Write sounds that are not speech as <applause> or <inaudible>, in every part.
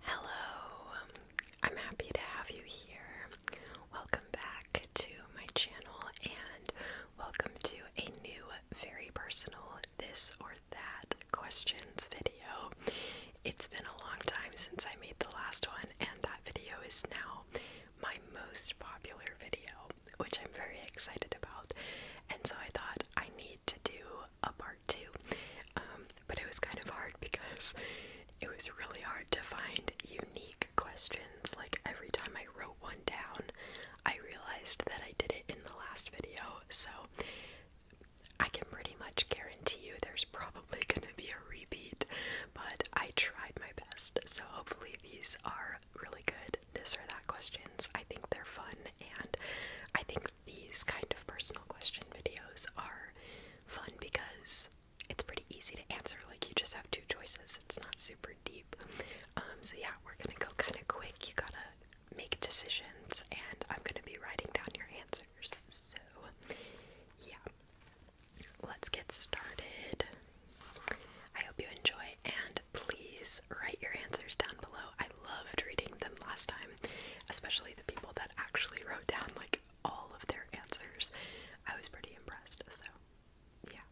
Hello, I'm happy to have you here. Welcome back to my channel and welcome to a new, very personal this or that questions video. It's been a long time since I made the last one, and that video is now my most popular video, which I'm very excited about. And so I thought I need to do a part too, um, but it was kind of hard because it was really hard to find unique questions. Like every time I wrote one down, I realized that I did it in the last video. So I can pretty much guarantee you there's probably going to be a repeat, but I tried my best. So hopefully these are really good this or that questions. I think they're fun and I think these kind of personal question videos are fun because it's pretty easy to answer. Like, you just have two choices, it's not super deep. Um, so, yeah, we're gonna go kind of quick. You gotta make decisions, and I'm gonna be writing down your answers. So, yeah, let's get started. I hope you enjoy, and please write your answers down below. I loved reading them last time, especially the people that actually wrote down like all of their answers. I was pretty impressed. So, yeah.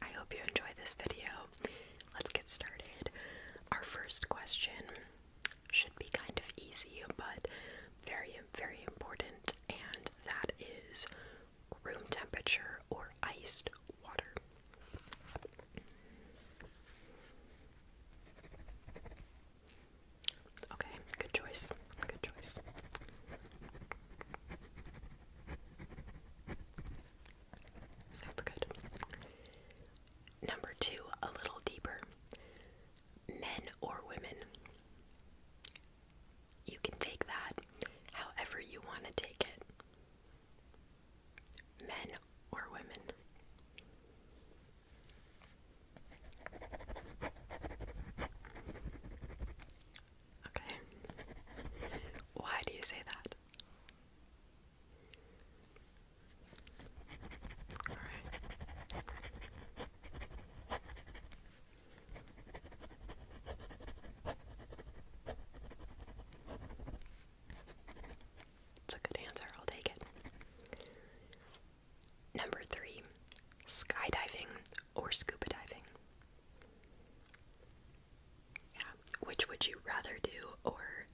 I hope you enjoy this video. Let's get started. Our first question should be kind of easy, but very, very important, and that is room temperature or iced water. Okay, good choice. Good choice. Sounds good. Number two, a little deeper. Men or women. You can take that however you want to take it. Men or women. Okay. Why do you say that? It's a good answer, I'll take it. Number three, skydiving or scuba diving. Yeah, which would you rather do, or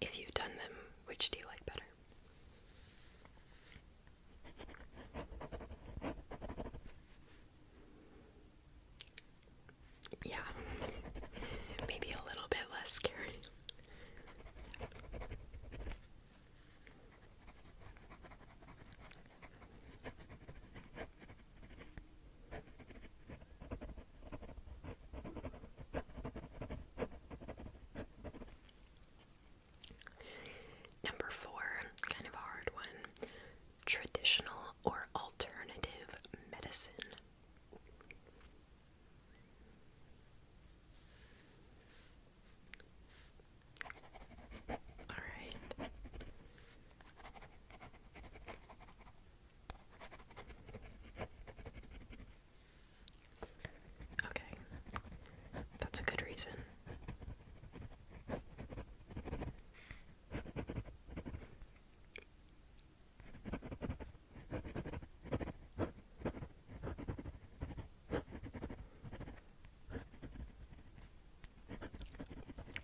if you've done them, which do you like better? Yeah, <laughs> maybe a little bit less scary. Number four, kind of hard one traditional or alternative medicine. Alright. Okay. That's a good reason.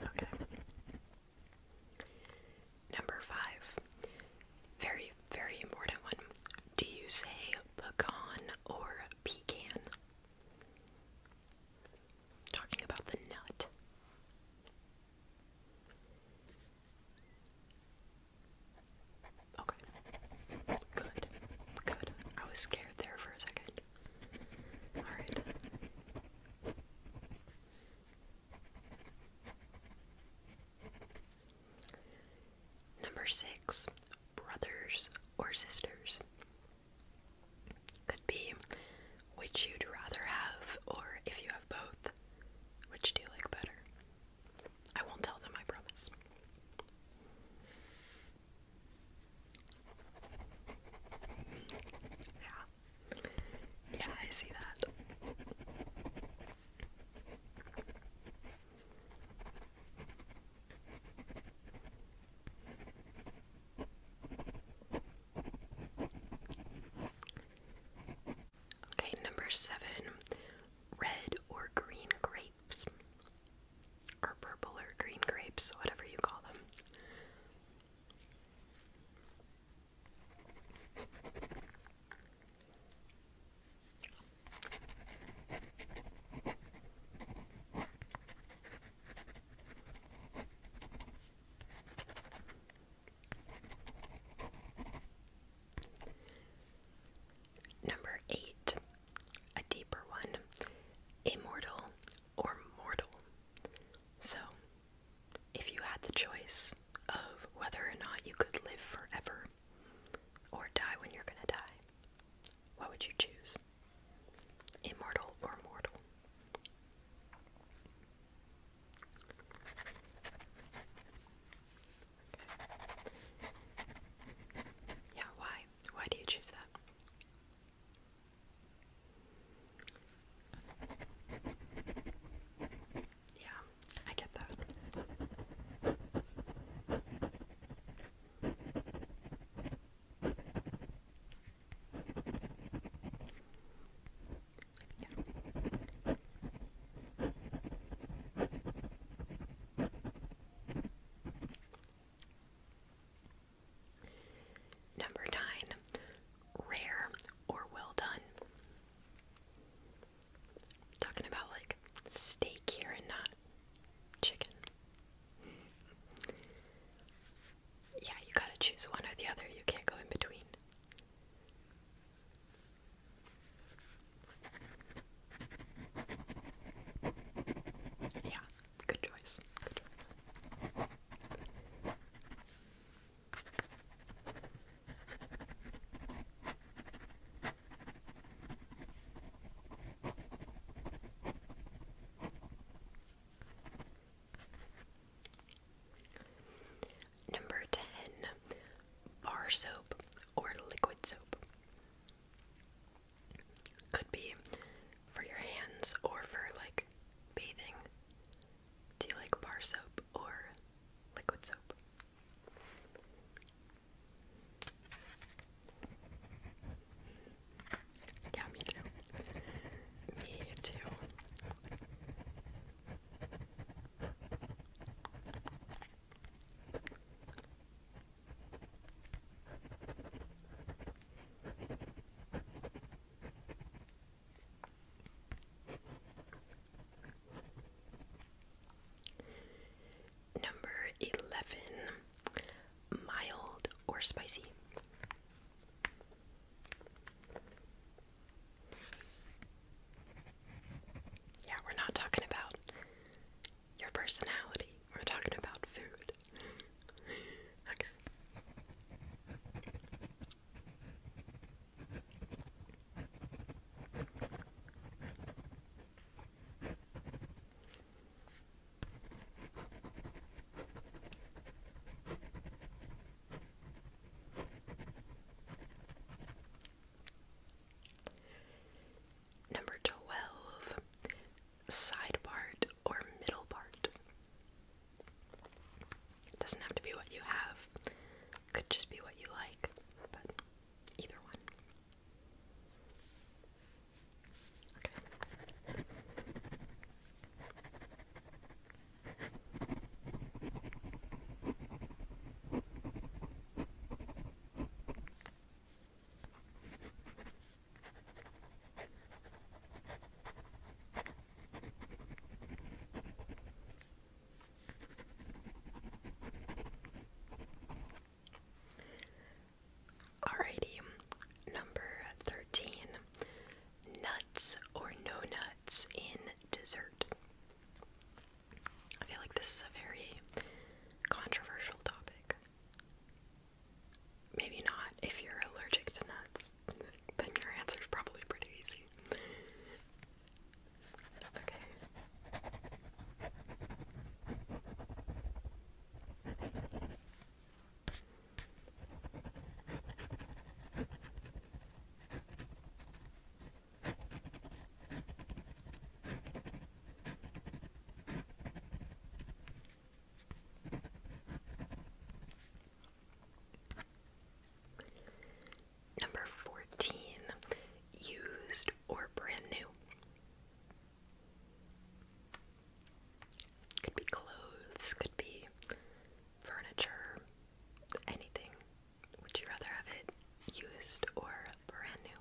Okay. Number five. Very, very important one. Do you say pecan or pecan? Talking about the nut. Okay. Good. Good. I was scared there for a second. Alright. Number six, brothers or sisters. Could be which you'd rather have, or if you have both, which do you like better? I won't tell them, I promise. Yeah. Yeah, I see that. Okay, number seven red or green grape. Or purple or green grapes, whatever you call them. Number eight a deeper one, immortal or mortal. So, if you had the choice of whether or not you could live forever or die when you're gonna die, what would you choose? Immortal or mortal? Yeah, why? Why do you choose that? Yeah, I get that. Number nine, rare or well done. talking about like steak here and not chicken. Yeah, you gotta choose one or the other, you can't go in between. Yeah, good choice. Good choice. Number 10 Bar soap or liquid soap. Could be for your hands or for like bathing. Do you like bar soap or liquid soap? Yeah, me too. Me too. Number 11 mild or spicy. Yeah, we're not talking about your personality. We're talking about food. okay. Number 12, side part or middle part. doesn't have to be what you have, could just be what you like, but either one. Alrighty, number 13 nuts or no nuts in dessert. I feel like this is a very controversial topic. Maybe not. If you're allergic to nuts, then your answer is probably pretty easy. Okay. Number 14, used or brand new. Could be clothes, could be furniture, anything. Would you rather have it used or brand new?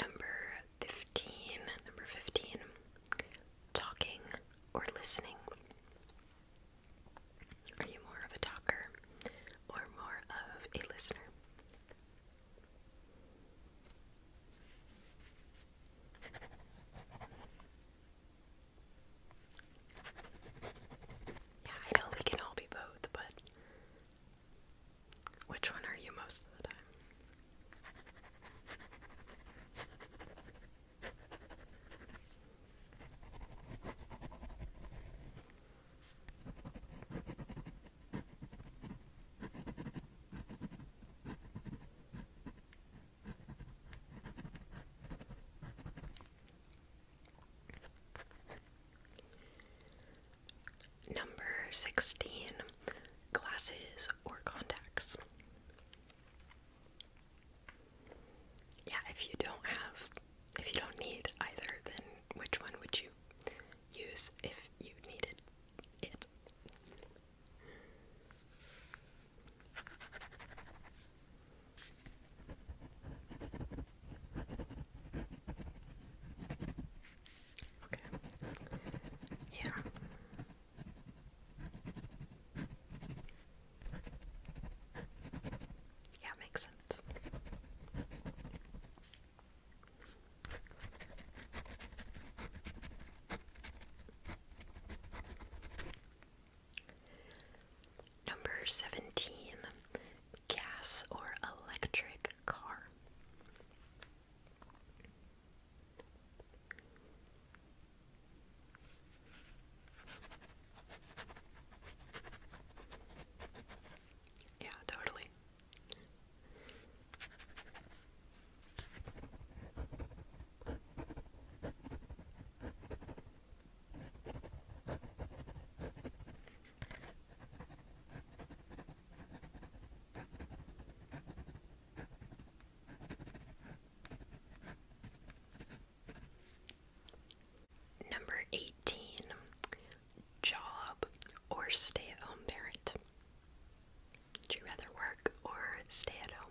Number 15, number 15, talking or listening. Are you more of a talker or more of a listener? Yeah, I know we can all be both, but which one are you most of the time? Number 16 Glasses or Contacts. Yeah, if you don't have, if you don't need either, then which one would you use if you needed it? Okay. Yeah. Yeah, it makes sense. Number 17 Gas or electric car. Yeah, totally. Number 18 Job or Stay at Home Parent. Would you rather work or stay at home?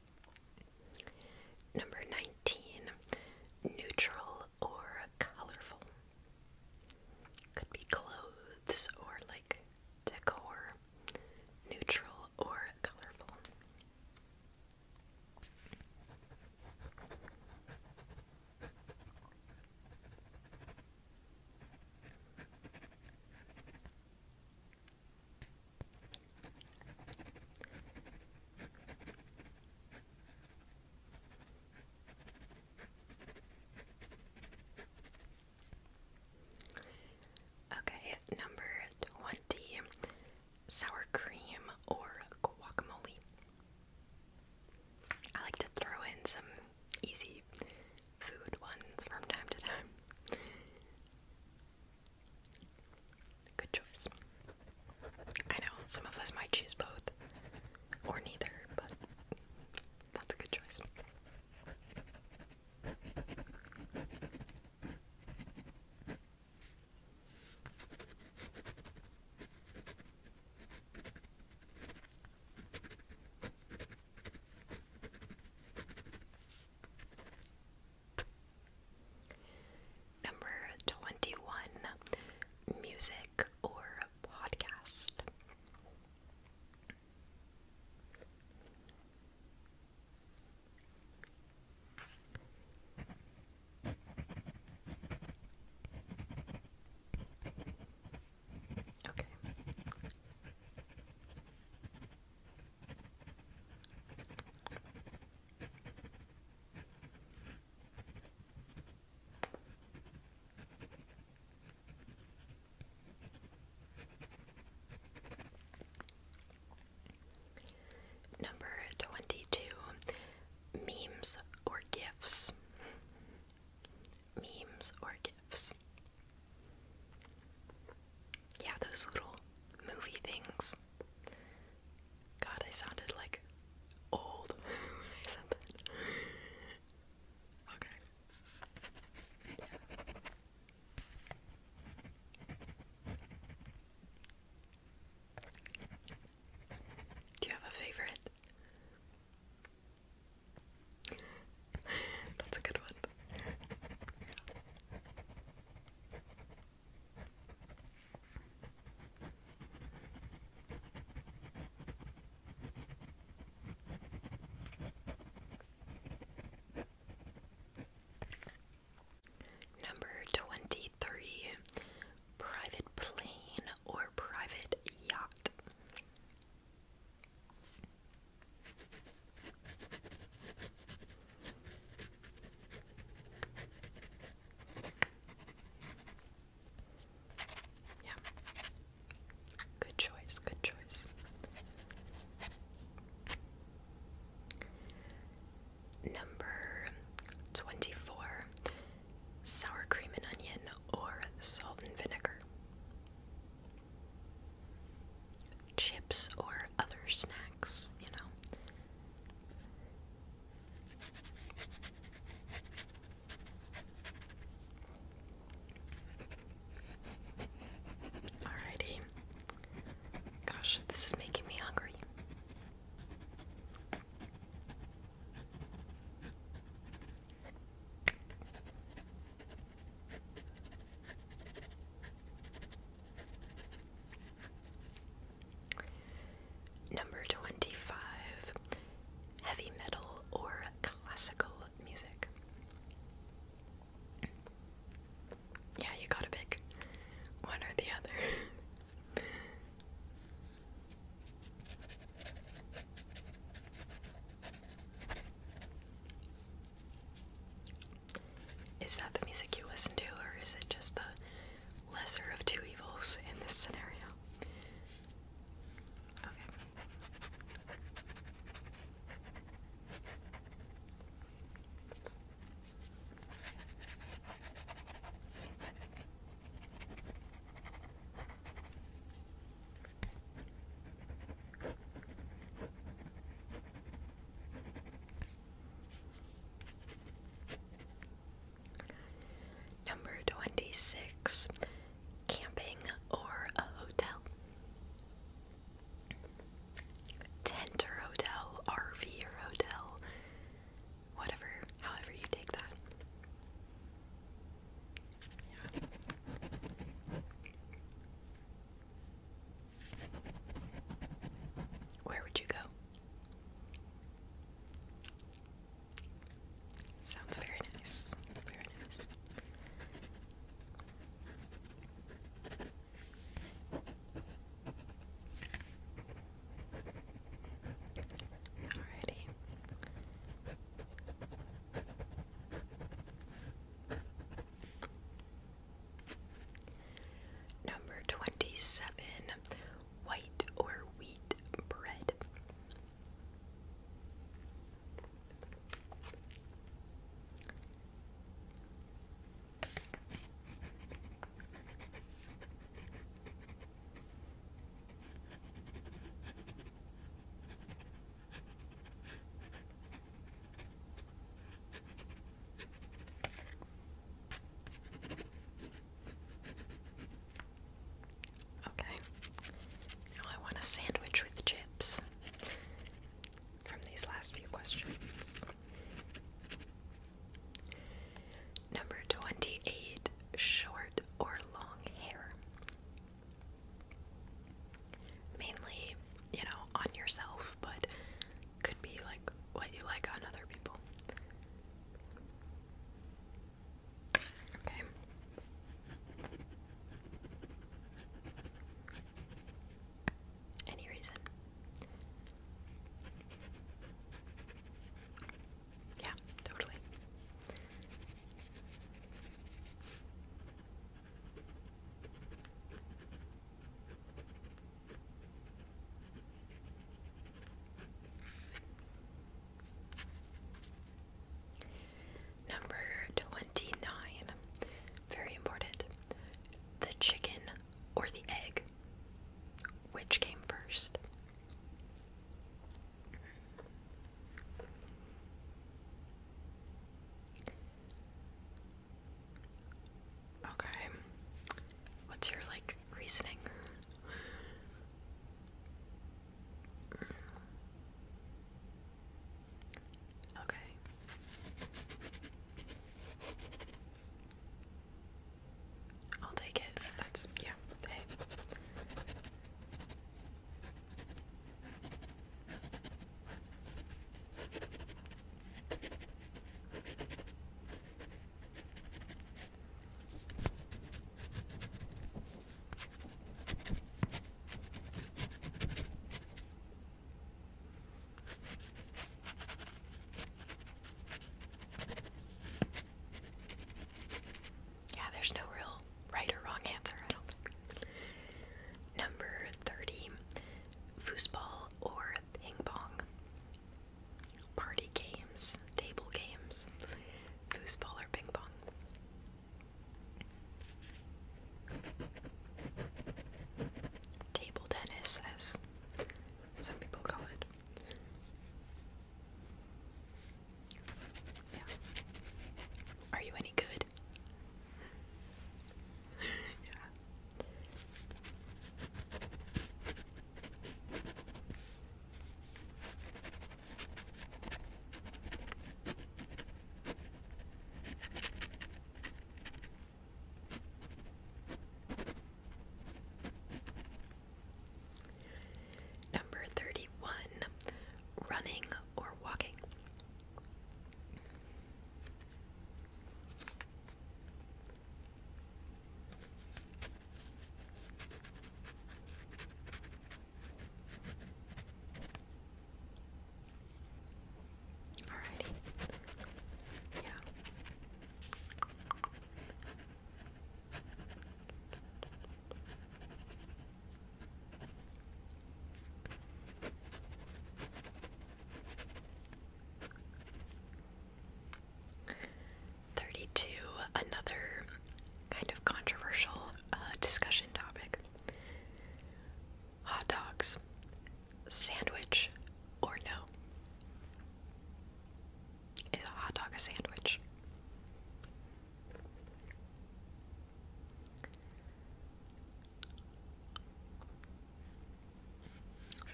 Number 19. Neutral or colorful. Could be clothes or like decor. Neutral or colorful. Okay, number 20 sour cream or guacamole. I like to throw in some easy food ones from time to time. Good choice. I know some of us might choose both or neither, but that's a good choice. Number 21 Music or Podcast. Okay. Number 22 Memes or Gifts. Memes or Gifts. Yeah, those little movie things. God, I sounded like old <laughs> Okay. Do you have a favorite? <laughs> That's a good one. Number 23 Private Plane or Private Yacht. Yeah. Good choice, good choice. Number 24 sour cream and onion or salt and vinegar. Chips or other snack. Alrighty. Gosh, this is making me hungry. Number 25 Heavy metal or classical music. Yeah, you gotta pick one or the other. Is that the music you listen to, or is it just the lesser of two evils in this scenario? Okay. Number 26 Camping or a hotel. Tent or hotel, RV or hotel, whatever, however you take that. Where would you go? Sounds very nice. Very nice. Alrighty. Number 27 White or Wheat Bread. Okay, I want a sandwich with chips from these last few questions. Number 28 Short or long hair? Mainly, you know, on yourself, but could be like what you like on other people. Okay. Any reason? Yeah, totally. Number 29, very important. The chicken or the egg? Which came first? Okay. What's your like reasoning? Okay. I'll take it. That's yeah. Hey. Yeah, there's no real right or wrong answer, I don't think. Number 30, foosball or ping pong party games, table games, foosball or ping pong. Table tennis, as some people call it. Yeah. Are you any good? <laughs> Number 31 Running or Walking. Alrighty. Yeah. 32, another kind of controversial uh, discussion topic hot dogs, sandwich, or no? Is a hot dog a sandwich?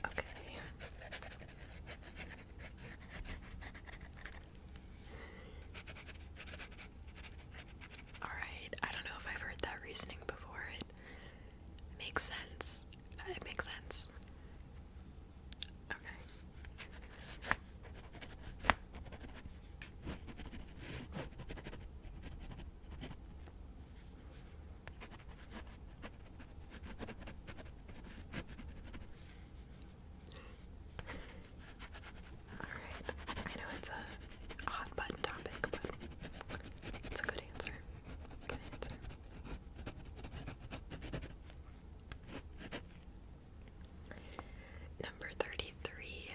Okay. Alright, I don't know if I've heard that reasoning before. It makes sense. It makes sense. Okay. Alright, I know it's a hot button topic, but it's a good answer. Good answer. Number 33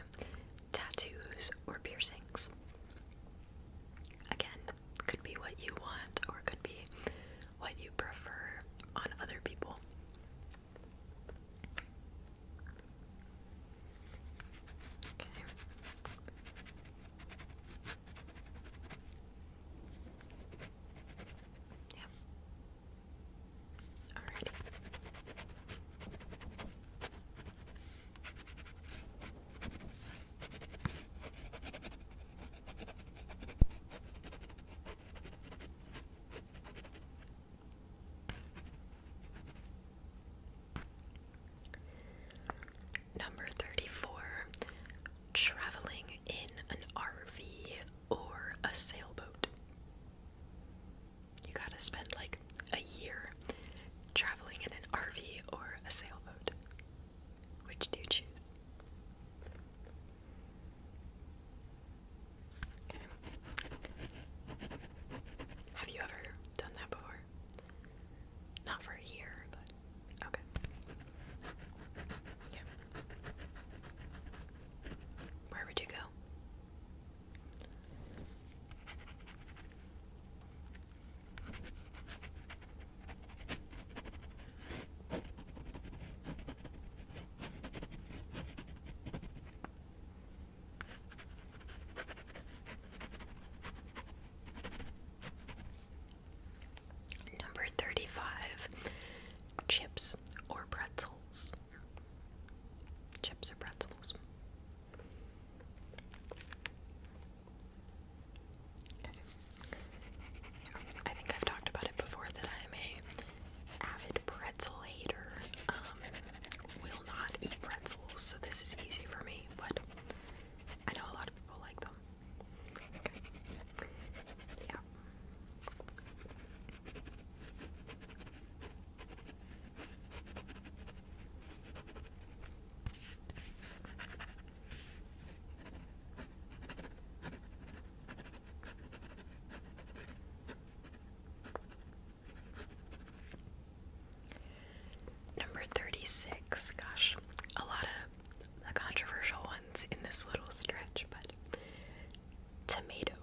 Tattoos or piercings. Again, could be what you want or could be what you prefer on other people. Okay. Yeah. Alrighty. Number 34 Traveling in an RV or a sailboat. You gotta spend like a year traveling in an RV or a sailboat. Which do you choose? Have you ever done that before? Not for a year, but okay. Where would you go? Number 35 Chips or pretzels. Chips or pretzels. I think I've talked about it before that I am a avid pretzel hater. Um, will not eat pretzels, so this is easy for me, but I know a lot of people like them. Yeah. Number 36. Gosh, a lot of controversial ones in this little stretch, but tomato.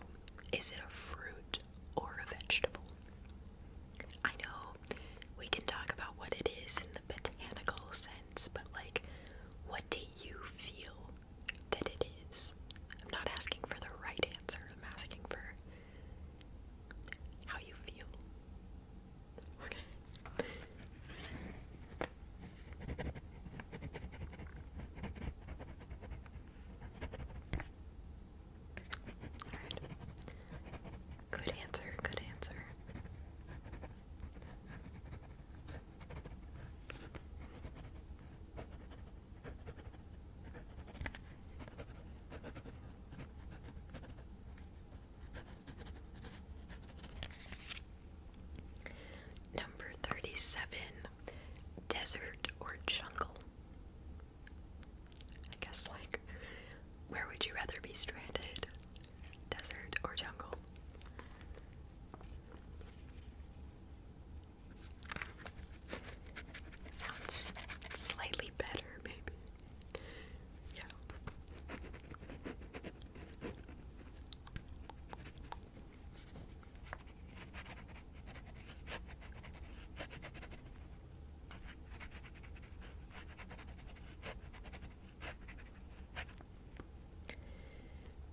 Is it a fruit or a vegetable? I know we can talk about what it is in the botanical sense, but like, what do you feel that it is. I'm not asking for the right answer, I'm asking for how you feel. Okay. Good answer, good answer. Number 37 Desert or Jungle. I guess, like, where would you rather be stranded? Desert or jungle? Sounds slightly better, maybe. Yeah.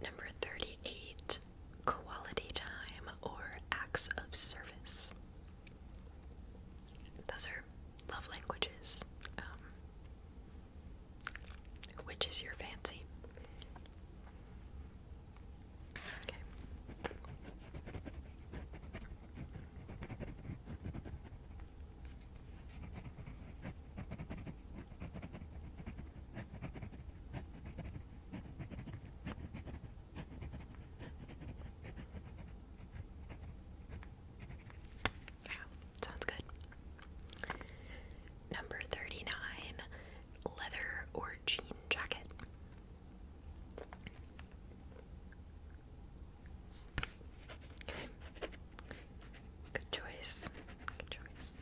Number 38 Quality Time or Acts of Service. Those are love languages. Um, which is your fancy? Okay. Yeah, sounds good. Number 39 leather or jean jacket. Good choice. Good choice.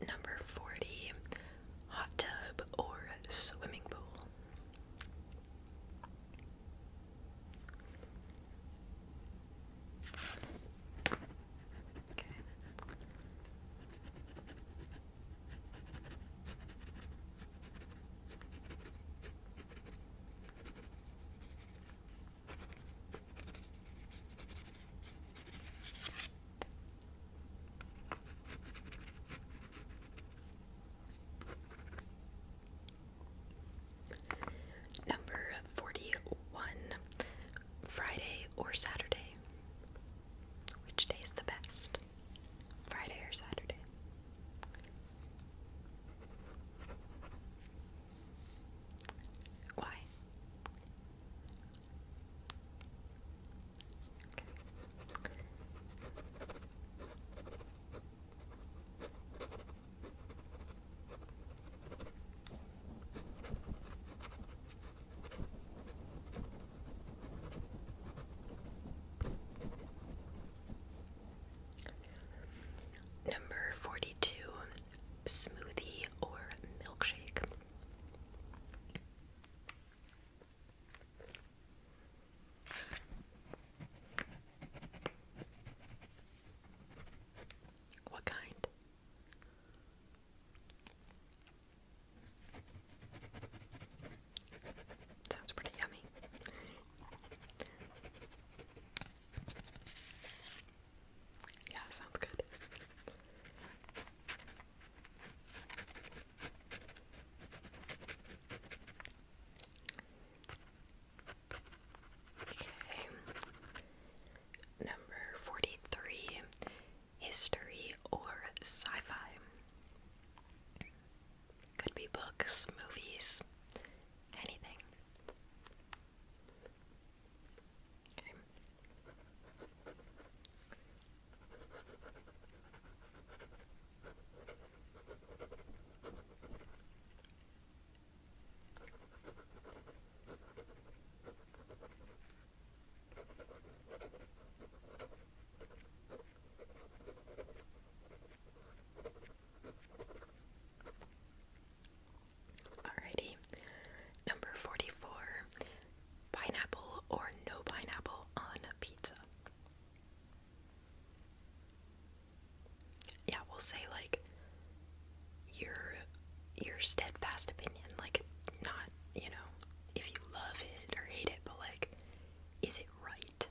Number 40 Hot tub or swimming pool. Okay. Number 41 Friday or Saturday? Which day is the best? Friday or Saturday. Why? Number 42 Smoothie or Milkshake. What kind? Sounds pretty yummy. Yeah, sounds good. Okay. Number 43 History or Sci Fi. Could be books, movies, anything. Alrighty, number 44 pineapple or no pineapple on a pizza. Yeah, we'll say like your your steadfast opinion, like not, you know, if you love it or hate it, but like is it right?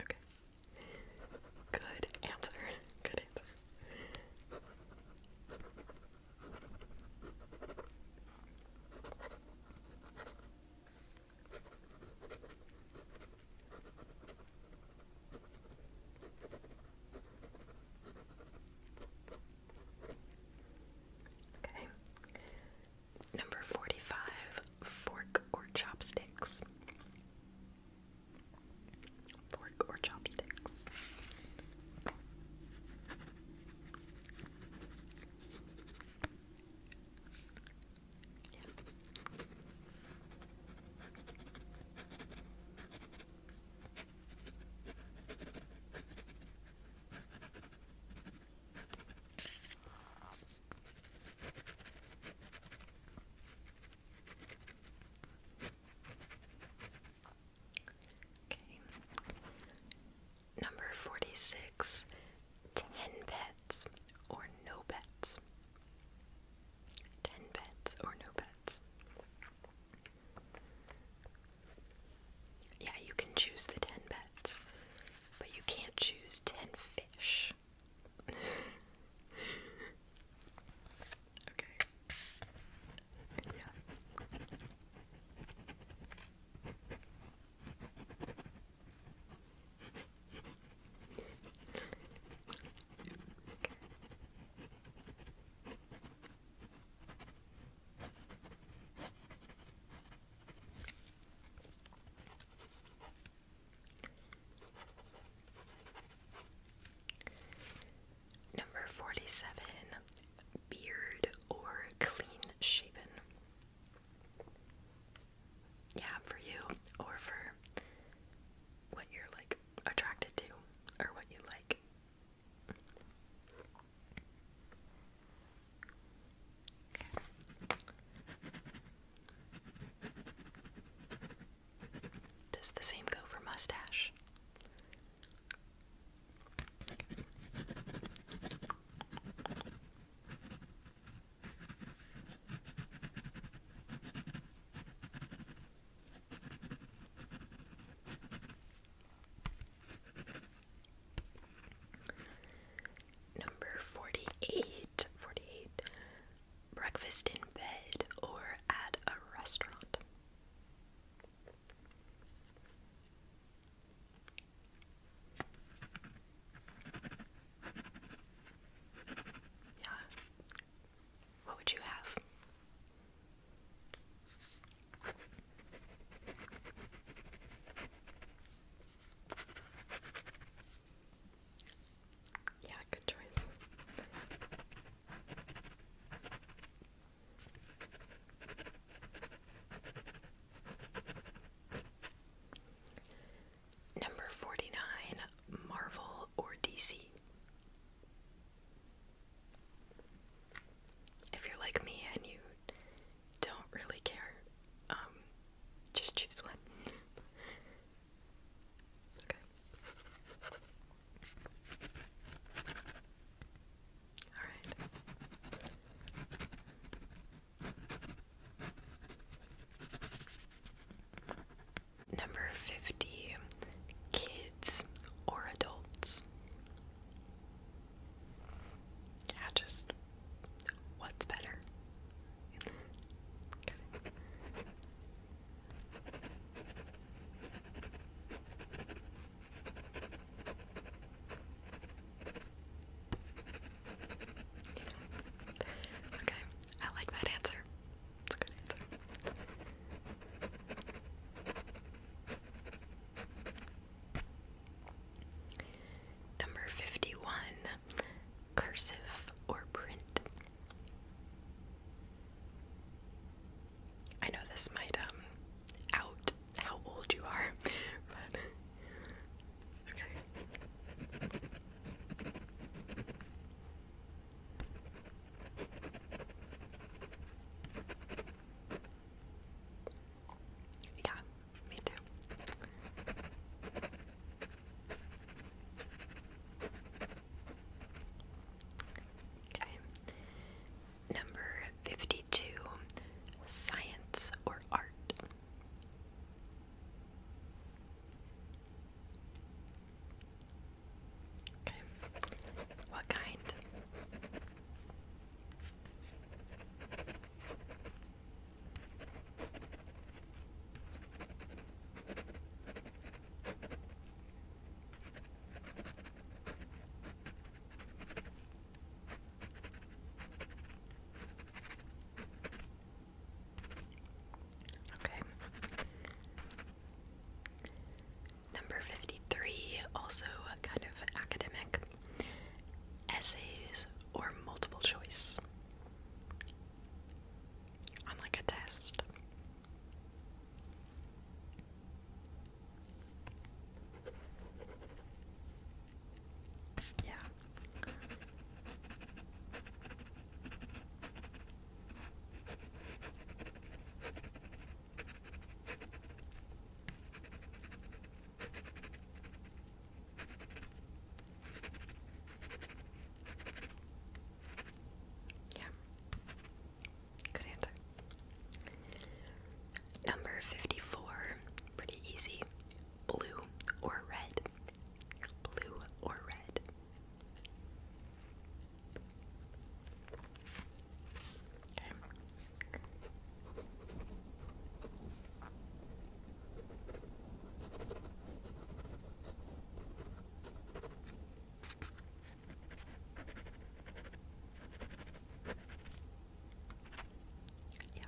Okay. Good answer. <laughs> Good answer. Okay. Number 45 Fork or Chopsticks. Fork or Chopsticks. Number 46 10 pets or no pets. 10 pets or no pets. Yeah, you can choose the 10 pets, but you can't choose 10 fish. <laughs> okay. Yeah. Number 47 Beard or Clean Shaven. Yeah, for you or for what you're like attracted to or what you like. Does the same go for mustache? Number 48. 48. Breakfast in bed or at a restaurant. Yeah. What would you have? Yeah, good choice. Number 49, Marvel or DC. If you're like me and you don't really care. Um, just choose one. okay. All right. Number 50 kids or adults. Yeah, just what's better? okay, I like that answer. It's a good answer. Number 51 Cursive or Print. I know this might um out how old you are, <laughs> but okay. Yeah, me too. Okay. Number 52 Science or Art. Okay. What kind? Okay. Number 53, also kind of academic essays, or multiple choice. Unlike a test. Yeah. Yeah. Good answer. Number 54. Pretty easy. Blue or red? Blue or red? Yep.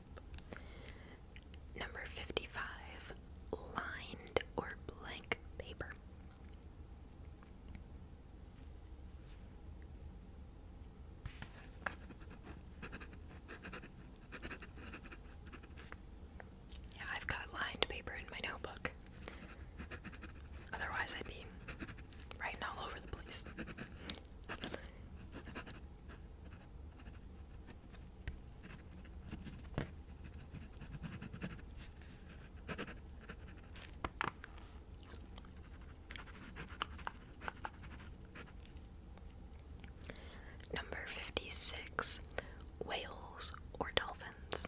Number 55 lined or blank paper. Yeah, I've got lined paper in my notebook. Otherwise, I'd be writing all over the place. Number 56. Whales or dolphins?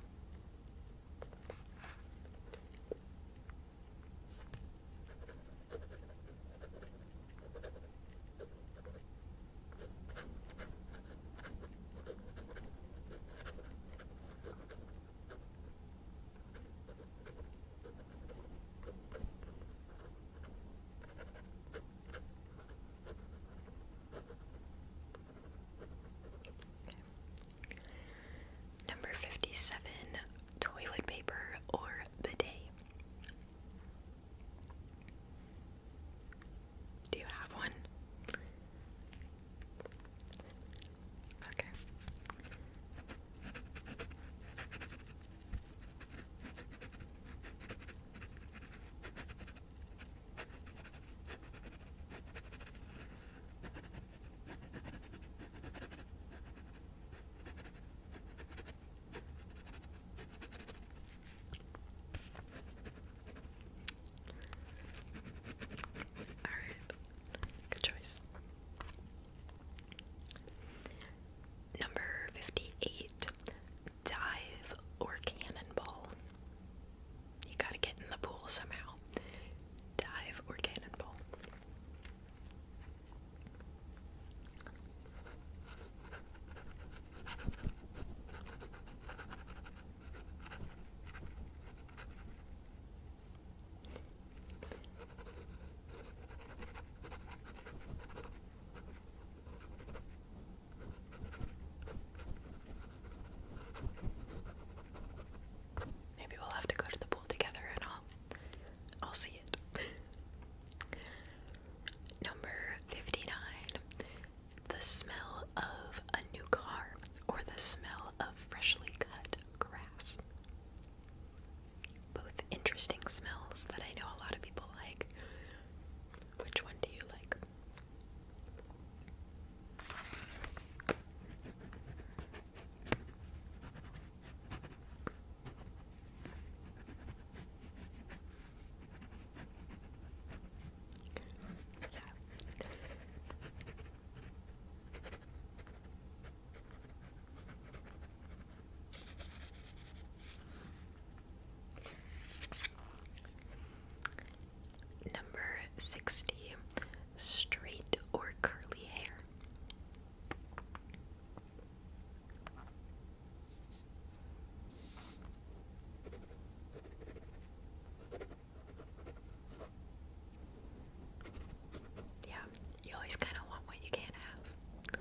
Number 57 toilet paper or bidet. Do you have one? Okay. Alright, good choice. Number 58 Dive or Cannonball. You gotta get in the pool somehow. Dive or Cannonball. Maybe we'll have to go to the pool together and I'll I'll see it. Number 59. The smell of a new car or the smell of freshly cut grass both interesting smells that I know a lot of people like. Which one do you like? Number 60. Straight or curly hair? Yeah, you always kind of want what you can't have.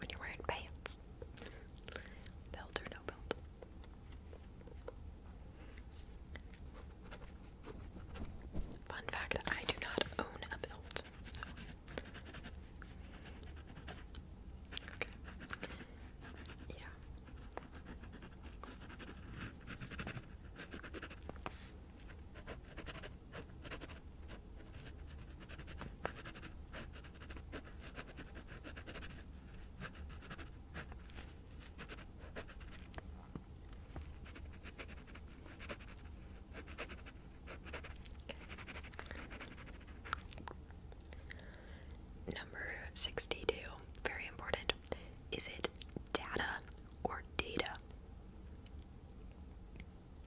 when you're wearing pants. Belt or no belt. Fun fact, I do not own a belt, so okay. Yeah. Number 62, very important. Is it data or data?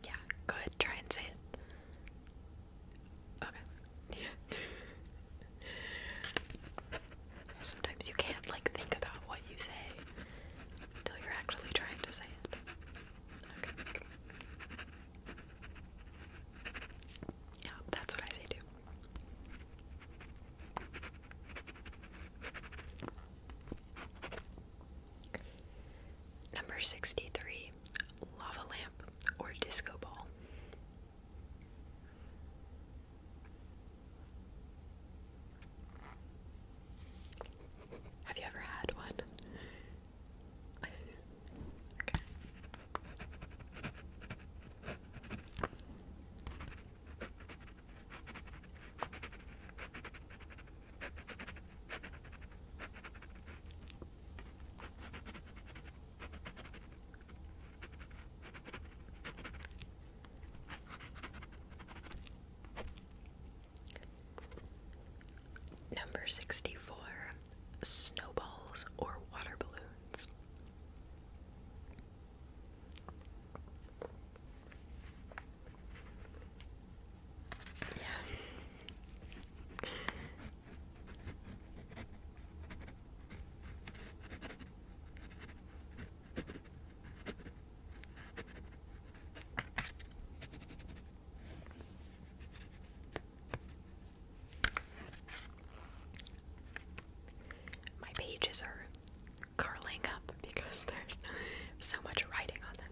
Yeah, go ahead, try and say it. Okay. <laughs> Sometimes you can't like think about what you say until you're actually trying to say it. Yeah, that's what I say too. Number 63 Lava Lamp or Disco Ball. Have you ever had one? Number 64 Snowballs or Water Balloons. Yeah. My pages are curling up because there's so much writing on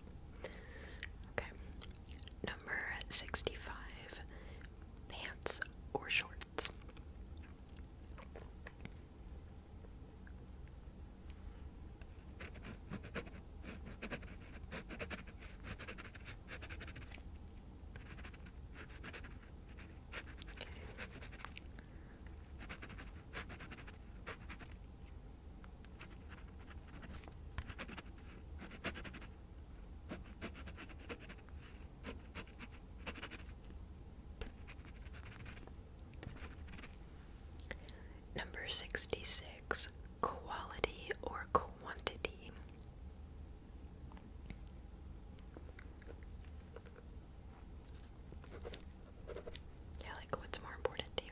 Okay. Number 65 pants or shorts. Number 66 Quality or Quantity. Yeah, like what's more important to you?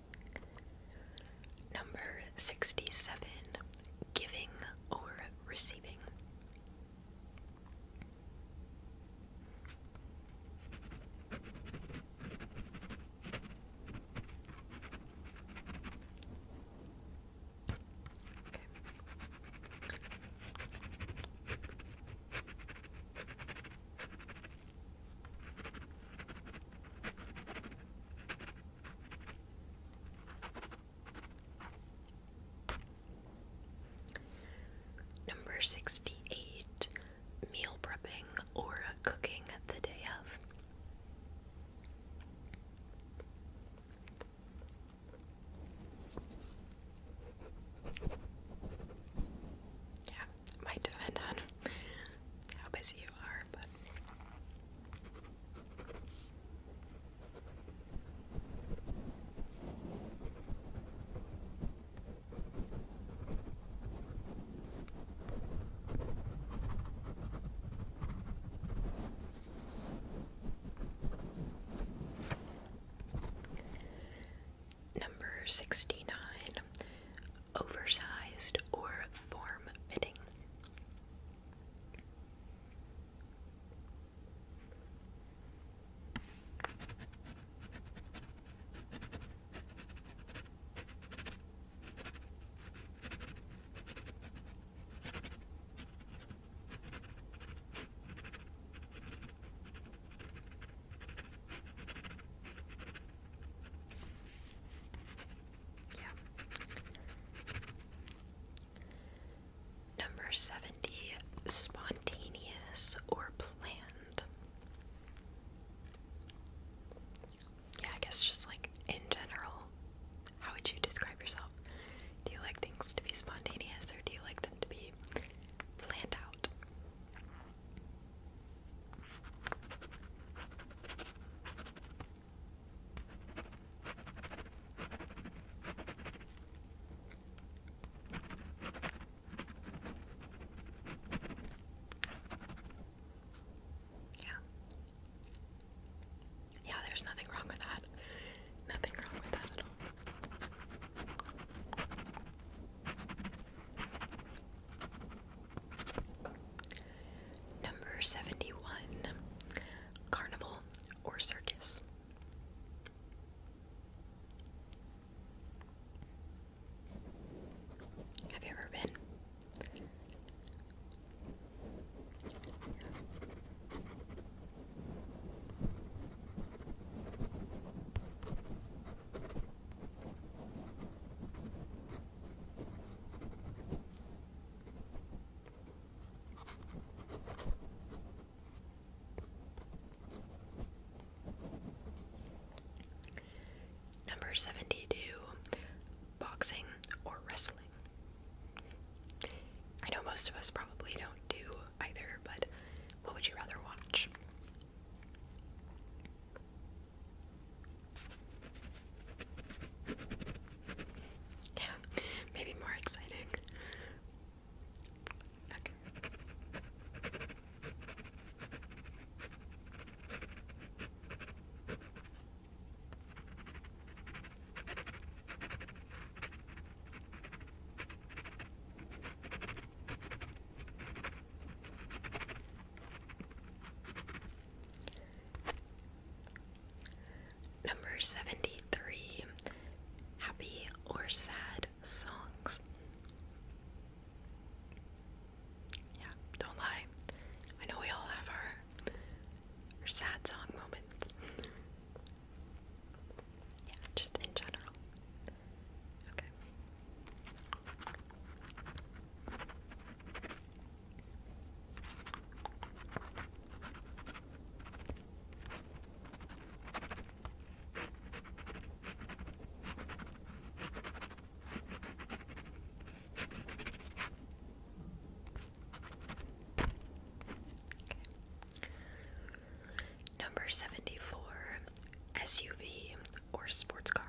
Number 67 Giving or Receiving. Number 68 Meal prepping or cooking the day of. Yeah, might depend on how busy Number 69 oversized or form fitting. Yeah. Number 70 spontaneous or planned. Yeah, I guess just like in general, how would you describe yourself? Do you like things to be spontaneous or do you like them to be planned out? Yeah. Yeah, there's nothing wrong with that. Nothing wrong with that at all. Number 71 Carnival or Circus. Have you ever been? Number 72 Boxing or Wrestling. I know most of us probably don't do either, but what would you rather watch? Yeah, maybe more exciting. Okay. Number 73 Happy or Sad Songs. Yeah, don't lie. I know we all have our, our sad song moments. <laughs> yeah, just in general. Okay. Number 74 SUV or sports car.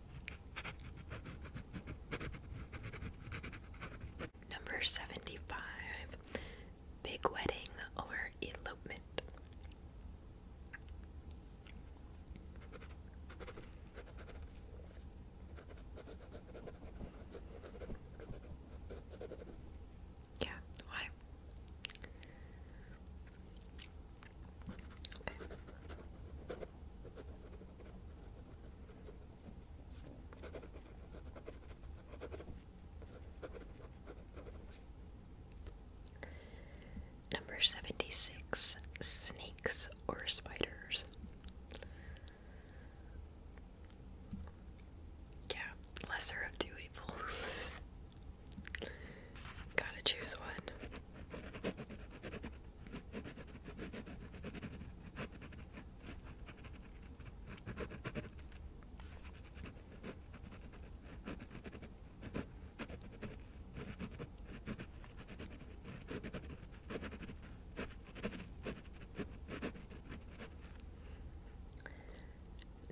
Number 75 Big Wedding or Elopement. Yeah, why? Number 76 Snakes or Spiders. Yeah, lesser of two evils. <laughs> Gotta choose one.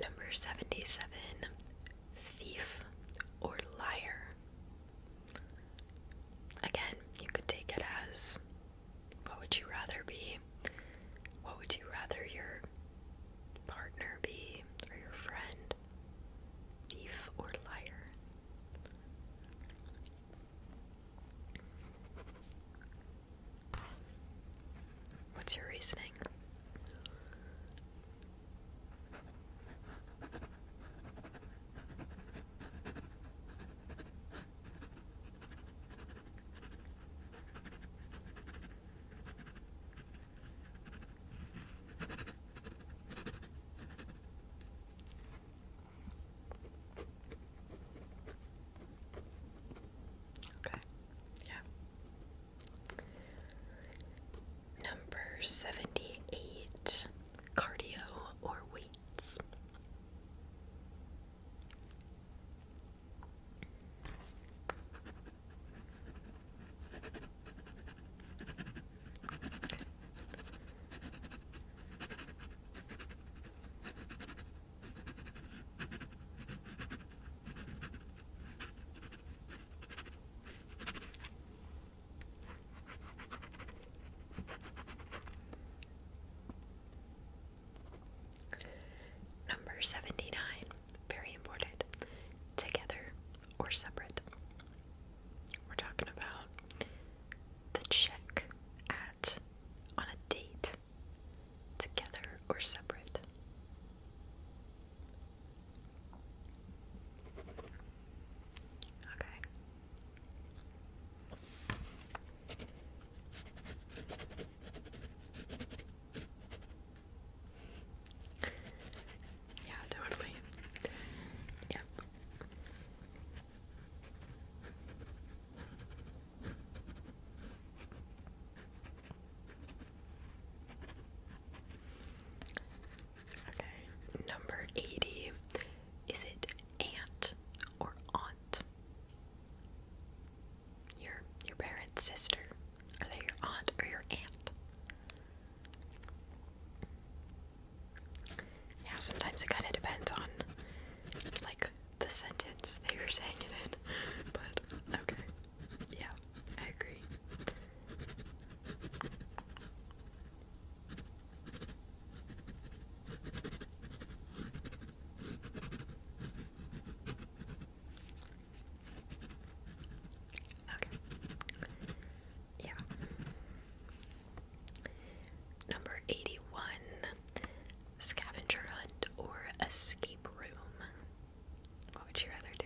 Number 77 Thief or Liar. Again, you could take it as what would you rather be? What would you rather your partner be or your friend? Thief or liar? What's your reasoning? Okay. Yeah. Number 78 cardio or weights. Number 79, very important. Together or separate. We're talking about the check at on a date. Together or separate. Okay. Yeah, totally. Yep. Okay, number 80 is it aunt or aunt? Your your parents' sister. Are they your aunt or your aunt? Now sometimes it kinda depends on like the sentence they are saying it in. But okay. Yeah, I agree. Okay. Yeah. Number 81 Scavenger Hunt or Escape Room. What would you rather do?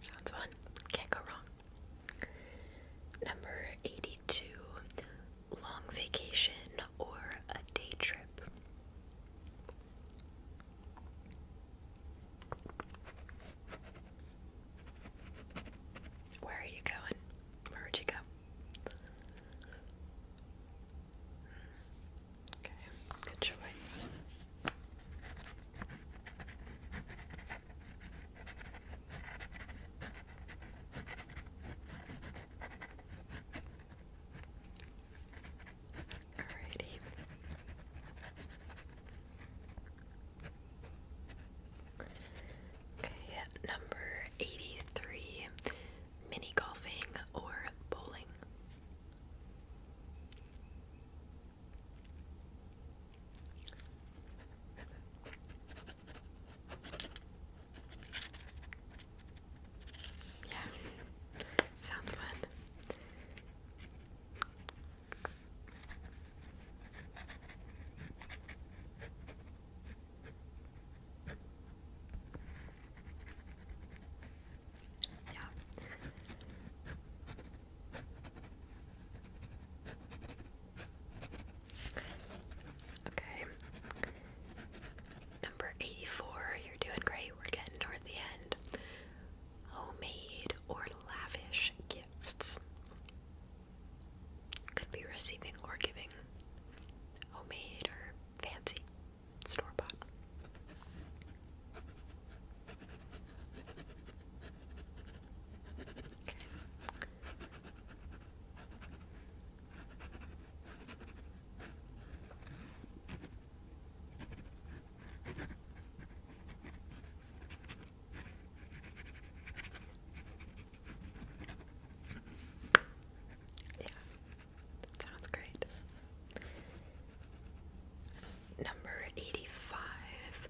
Sounds fun. Can't go wrong. Number 82 long vacation or a day trip. Where are you going? Where would you go? Okay, good choice. Alrighty. Okay, number eighty three mini golfing or bowling. Yeah, sounds fun. Okay. Number 84, you're doing great. We're getting toward the end. Homemade or lavish gifts. Could be receiving or giving. Homemade or fancy store bought. Yeah, sounds great. Number 85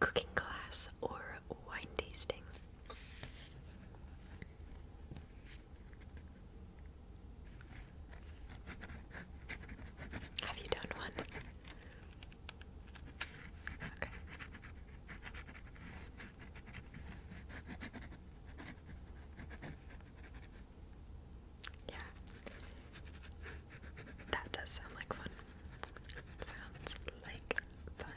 Cooking Class or Wine Tasting. Have you done one? Okay. Yeah. That does sound like fun. Sounds like fun.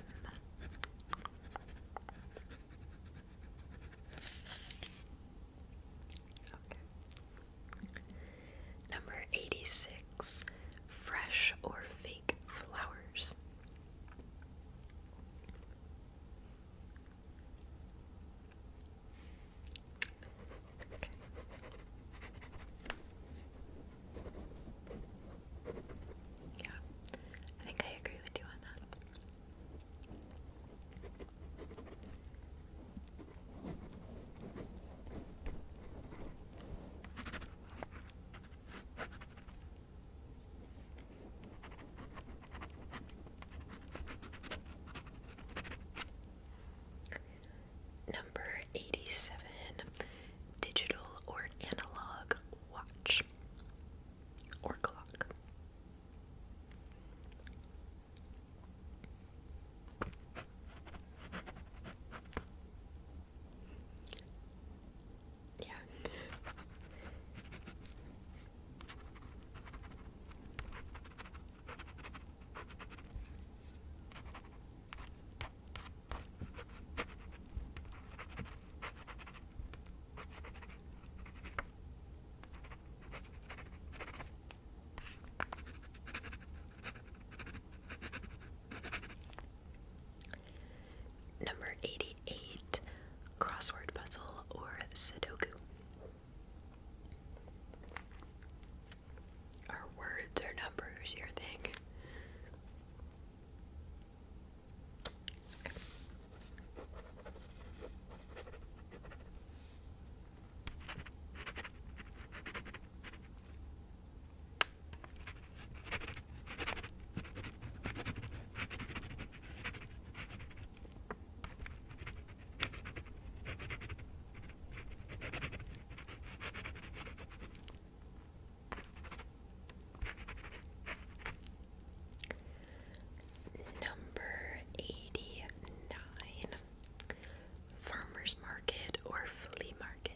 Number 86 Fresh or Fake Flowers. Okay. Yeah, I think I agree with you on that. Number 87 Digital or Analog Watch or Clock. Yeah. Number 88 Crossword Puzzle or Sudoku. Our words are numbers your thing? Number 89 Farmers Market or Flea Market.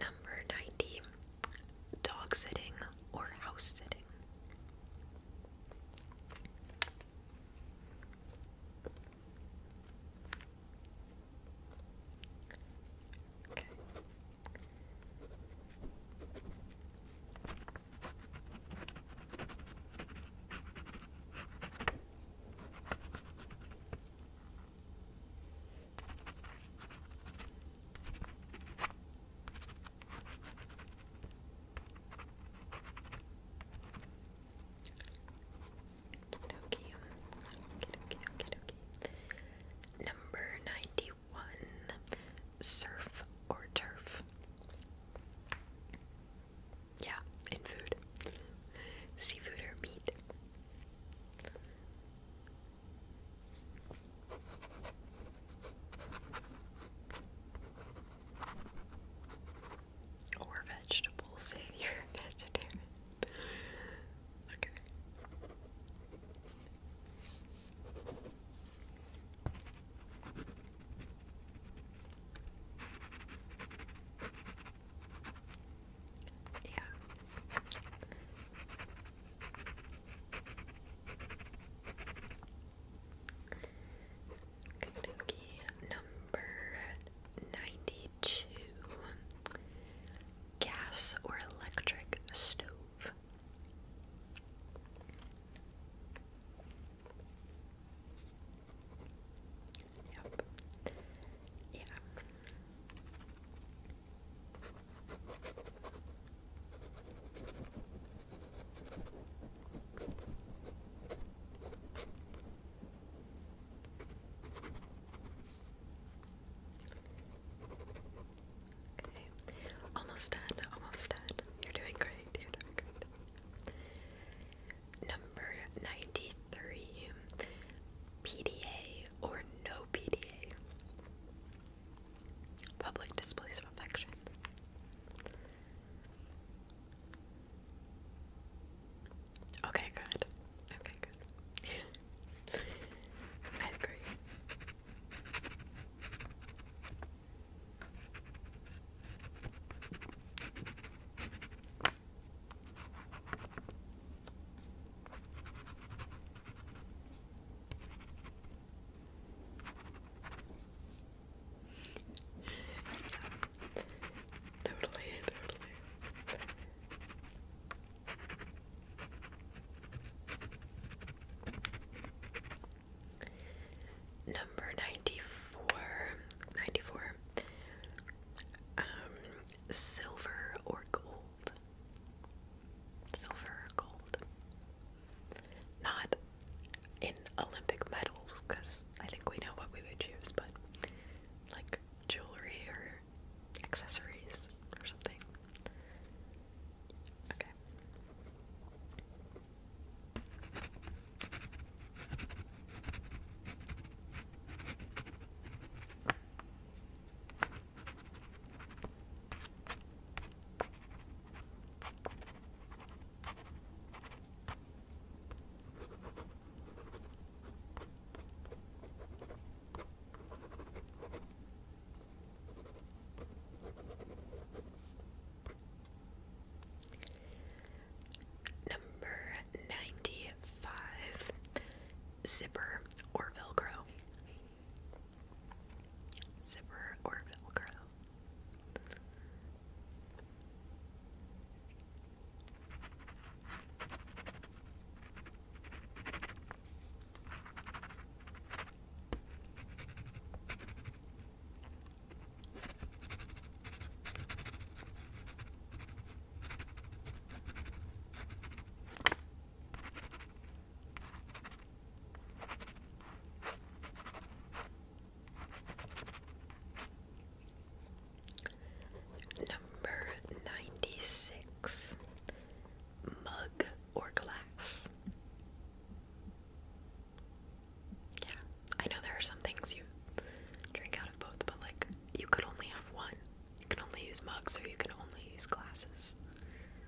Number 90 dog sitting or house sitting. Okay. Number 91 Surf or Turf. Yeah, in food. Seafood or meat. Or vegetables if you're a okay. Yeah. Kanuki number 92 Gas or electric stove. Okay, almost done, almost done. You're doing great, you Number 93 PDA or no PDA. Public displays of affection. Okay, good. Okay, good. I agree totally, totally. Number 94, 94. Um, silver or gold. Silver gold. Not in Olympic medals, because I think we know what we would choose, but like jewelry or accessories or something. Okay. Number ninety five zipper or Velcro. Zipper or Velcro? Number 96 Mug or Glass. Yeah, I know there are some things you drink out of both, but like you could only have one. You can only use mugs or you can only use glasses.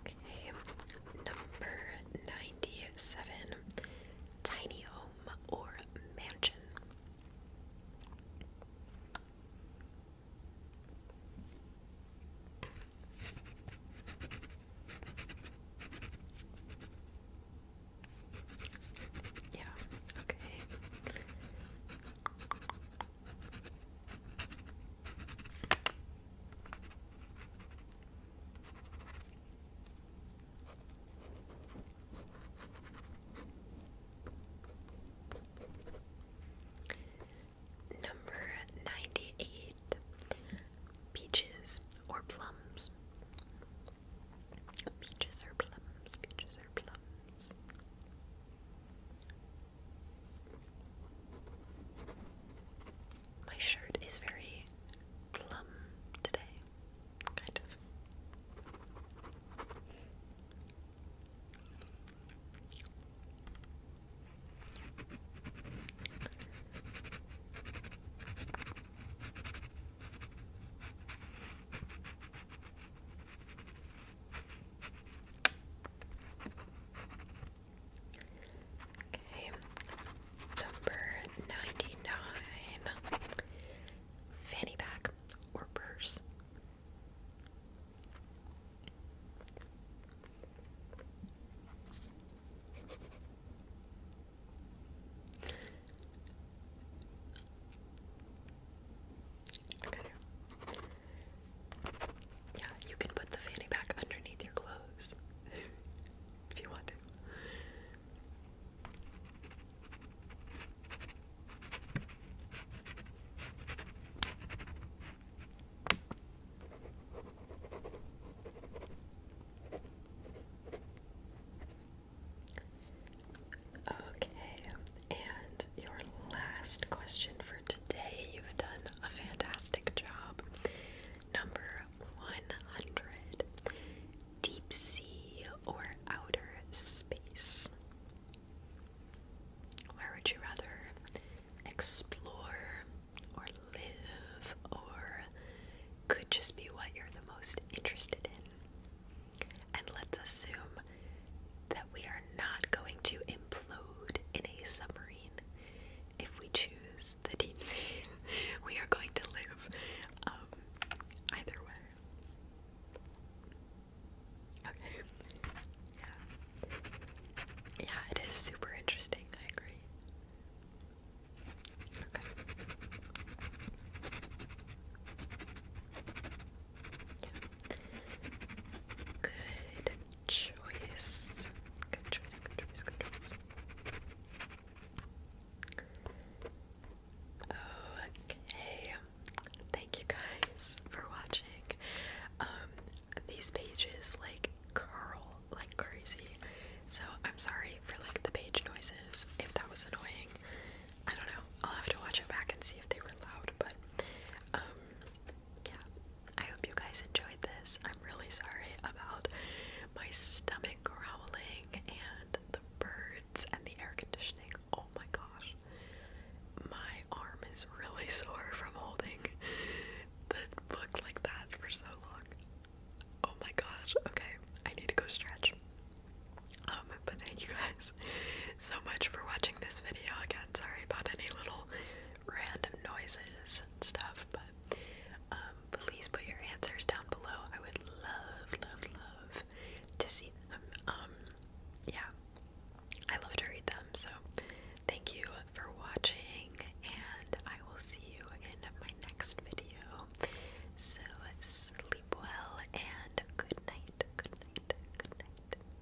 Okay, number 97 Tiny Home or Mansion. Yeah, okay. Number ninety eight peaches or plums. Peaches or plums, peaches or plums. My shirt is very plum today, kind of. Okay, number ninety nine fanny pack or purse. Okay. Yeah, you can put the fanny pack underneath your clothes <laughs> if you want to. Okay, and your last question for today. You've done a fantastic job. Number 100 Deep sea or outer space? Where would you rather explore or live or could just be what you're the most interested in? And let's assume that we are not going to implode in a submarine if we choose the deep sea. <laughs> we are going to live um, either way. Okay. Yeah. it is super interesting. I agree. Good choice. Good choice, good choice, good choice. Okay. Thank you guys for watching. Um these pages like curl like crazy. So I'm sorry for like the page noises if that was annoying. I don't know. I'll have to watch it back and see if they were loud, but um yeah, I hope you guys enjoyed this. I'm really sorry about my stomach growling and the birds and the air conditioning. Oh my gosh. My arm is really <laughs> sore from holding the book like that for so long. Oh my gosh. Okay, I need to go stretch. Um, but thank you guys so much for watching this video again. Sorry about any little random noises and stuff, but um, please put your answers down below. I would love, love, love to see them. Um, yeah, I love to read them. So thank you for watching, and I will see you in my next video. So sleep well and good night. Good night. Good night.